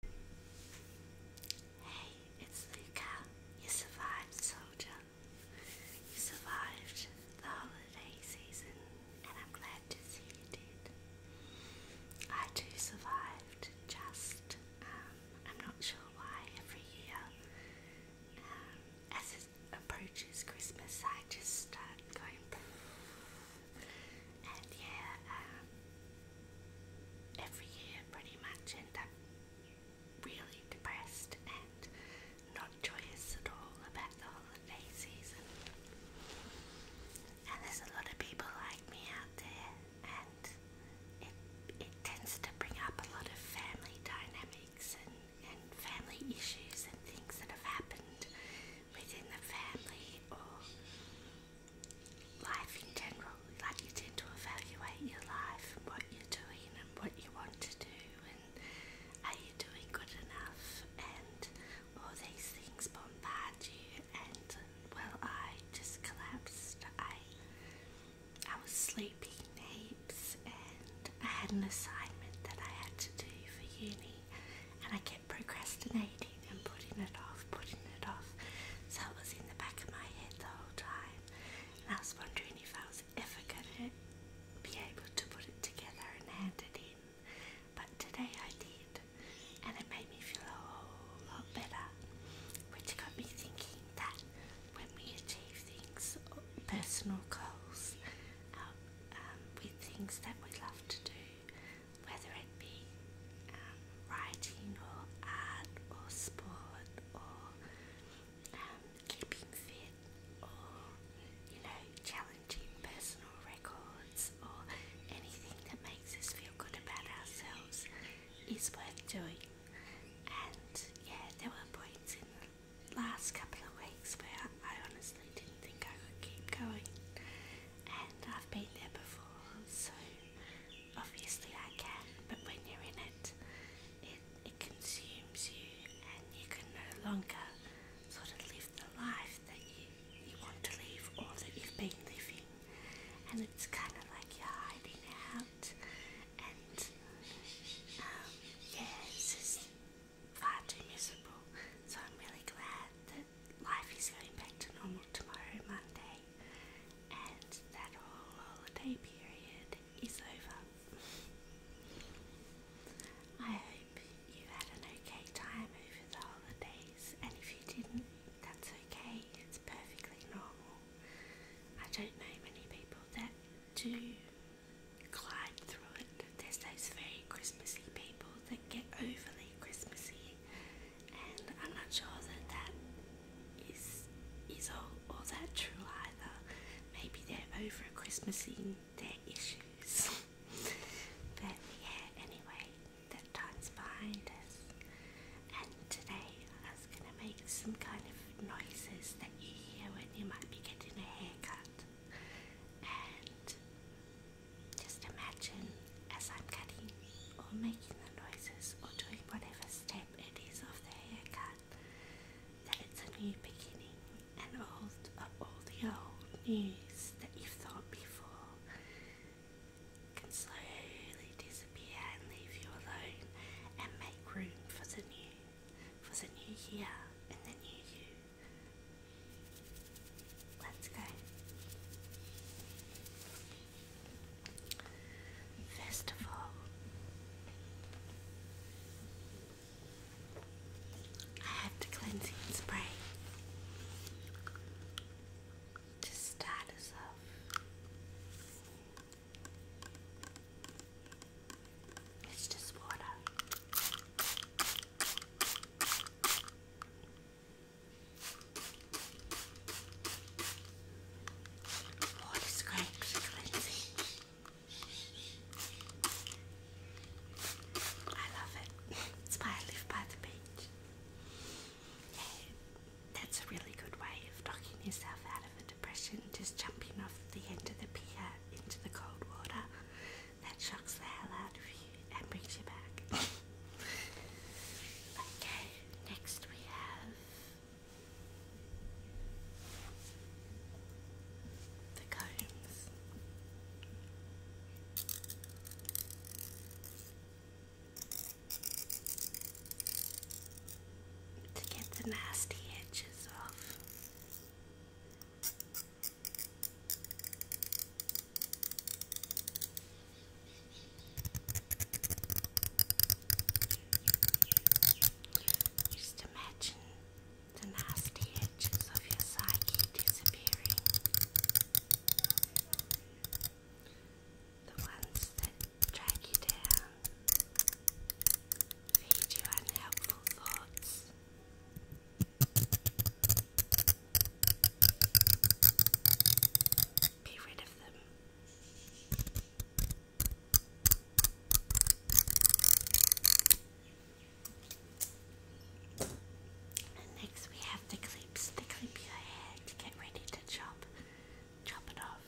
Hey, it's Luca. You survived, soldier. You survived the holiday season, and I'm glad to see you did. I too survived, just, um, I'm not sure why every year, um, as it approaches Christmas, I just start going and yeah, um, every year pretty much end up really depressed and not joyous at all about the holiday season. And there's a lot of people like me out there, and it, it tends to bring up a lot of family dynamics and, and family issues and things that have happened within the family or life in general. Like you tend to evaluate your life and what you're doing and what you want to do and are you doing good enough and all these things bombard you and well I just collapsed. I I was sleeping heaps and I had an assignment that I had to do for uni and I kept procrastinating and putting it off, putting it off. So it was in the back of my head the whole time, and I was wondering if I was ever going to be able to put it together and hand it in. But today I did, and it made me feel a whole lot better, which got me thinking that when we achieve things, uh, personal goals, uh, um, with things that we love to do, whether it be um, writing or art or sport or um, keeping fit or you know challenging personal records or anything that makes us feel good about ourselves is worth doing. And yeah, there were points in the last couple of weeks where I honestly didn't think I could keep going and I've been there before, so obviously I can, but when you're in it, it, it consumes you and you can no longer sort of live the life that you, you want to live or that you've been living, and it's kind of like you're hiding out, and um, far too miserable. So I'm really glad that life is going back to normal tomorrow, Monday, and that whole holiday period is over. I hope you had an okay time over the holidays, and if you didn't, that's okay, it's perfectly normal. I don't know many people that do glide through it. There's those very Christmassy people that get overly Christmassy, and I'm not sure that that is is all, all that true either. Maybe they're over Christmassing their issues. but yeah, anyway, that time's behind us. And today I was gonna make some kind of noises that you hear when you might be getting a haircut and just imagine as I'm cutting or making the noises or doing whatever step it is of the haircut that it's a new beginning and all, uh, all the old news that you've thought before can slowly disappear and leave you alone and make room for the new, for the new year and the new you. Let's go. First I have the cleansing spray to start us off. It's just water. Water's great for cleansing. I love it. It's why I live by the beach. Yeah, that's a really good way of knocking yourself out a depression just jumping off the end of the pier into the cold water. That shocks the hell out of you and brings you back. okay, next we have the combs. To get the nasty edges off. Just imagine the nasty edges of your psyche disappearing. The ones that drag you down feed you unhelpful thoughts. Be rid of them. And next we have the clips. clip your hair get ready to chop. Chop it off.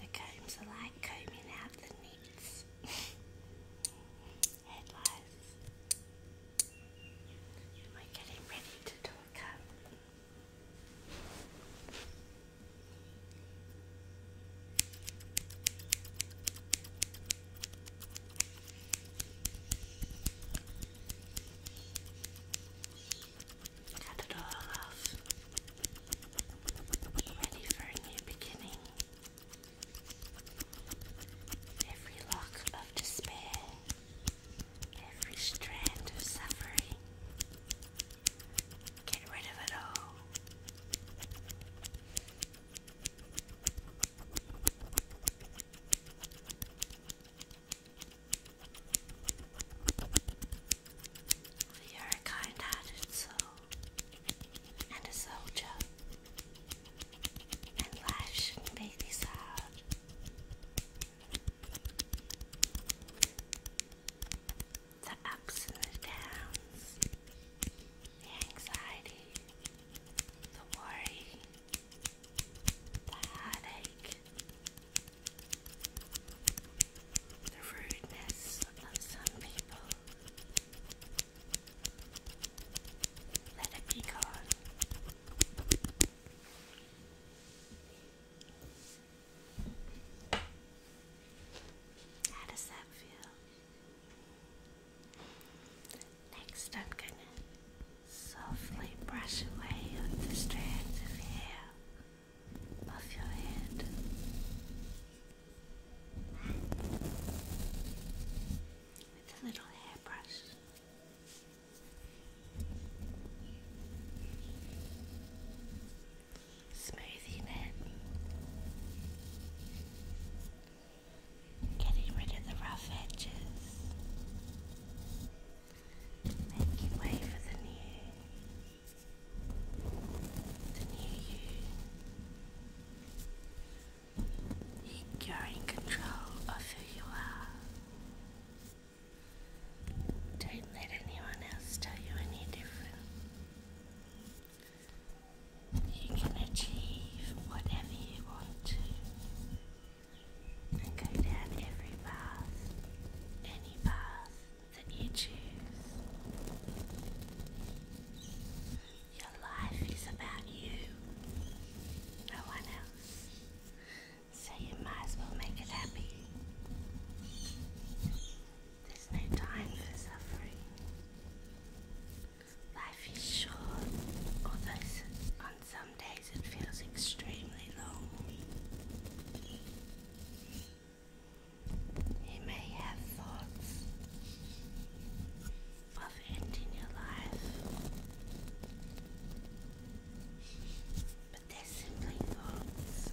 The combs are like combing out the neats headlines. We're getting ready to do a comb. Cut it all off. Ready for a new beginning. Every lock of despair, every strand of suffering, Get rid of it all. You are a kind hearted soul and a soldier, and life shouldn't be this hard the ups and the downs, the anxiety, the worry, the headache, the rudeness of some people. Let it be gone. How does that feel? Next, I'm going to softly brush away the strands of hair off your head. With a little hairbrush. Smoothing it, getting rid of the rough edges, making way for the new, the new you. You're in control of who you are. Don't let anyone else tell you any different. You can achieve whatever you want to and go down every path, any path that you choose. Your life is about you, no one else so you might as well make it happy. There's no time for suffering. Life is short, although on some days it feels extremely long. You may have thoughts of ending your life but they're simply thoughts.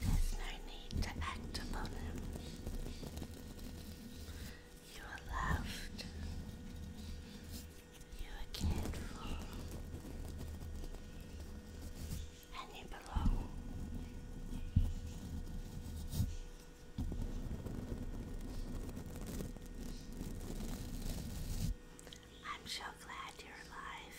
There's no need to act upon them. You are loved. You are cared for. And you belong. I'm so glad you're alive.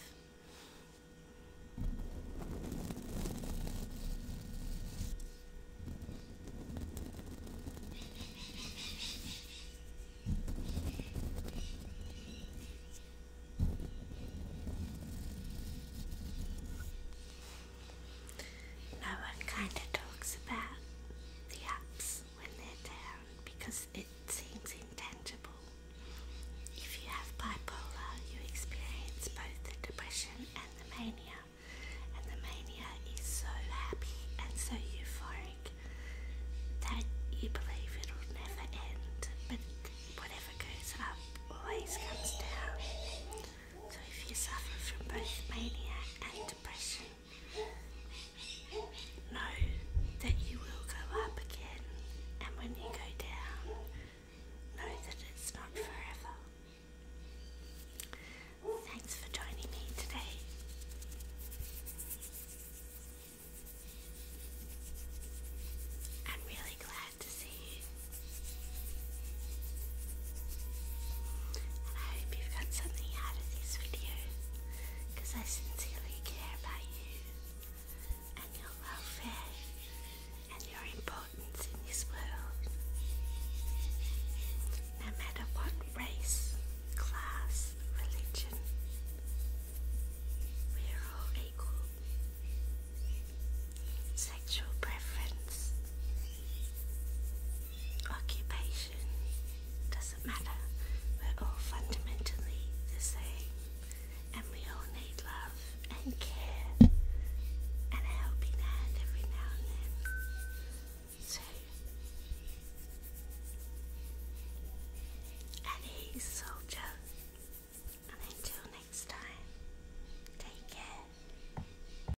No one kind of talks about the apps when they're down because it seems intangible. If you have bipolar, you experience both the depression and the mania, and the mania is so happy and so euphoric that you believe it'll never end, but whatever goes up always comes down. So if you suffer from both mania and depression, Know that you will go up again, and when you go down, know that it's not forever. Thanks for joining me today. I'm really glad to see you. I hope you've got something out of this video because I sincerely care about you and your welfare and your importance in this world. No matter what race, class, religion, we're all equal. Sexual preference, occupation fashion. Doesn't matter. We're all fundamentally the same. And we all need love and care and a helping hand every now and then. So at ease, soldier. And until next time, take care.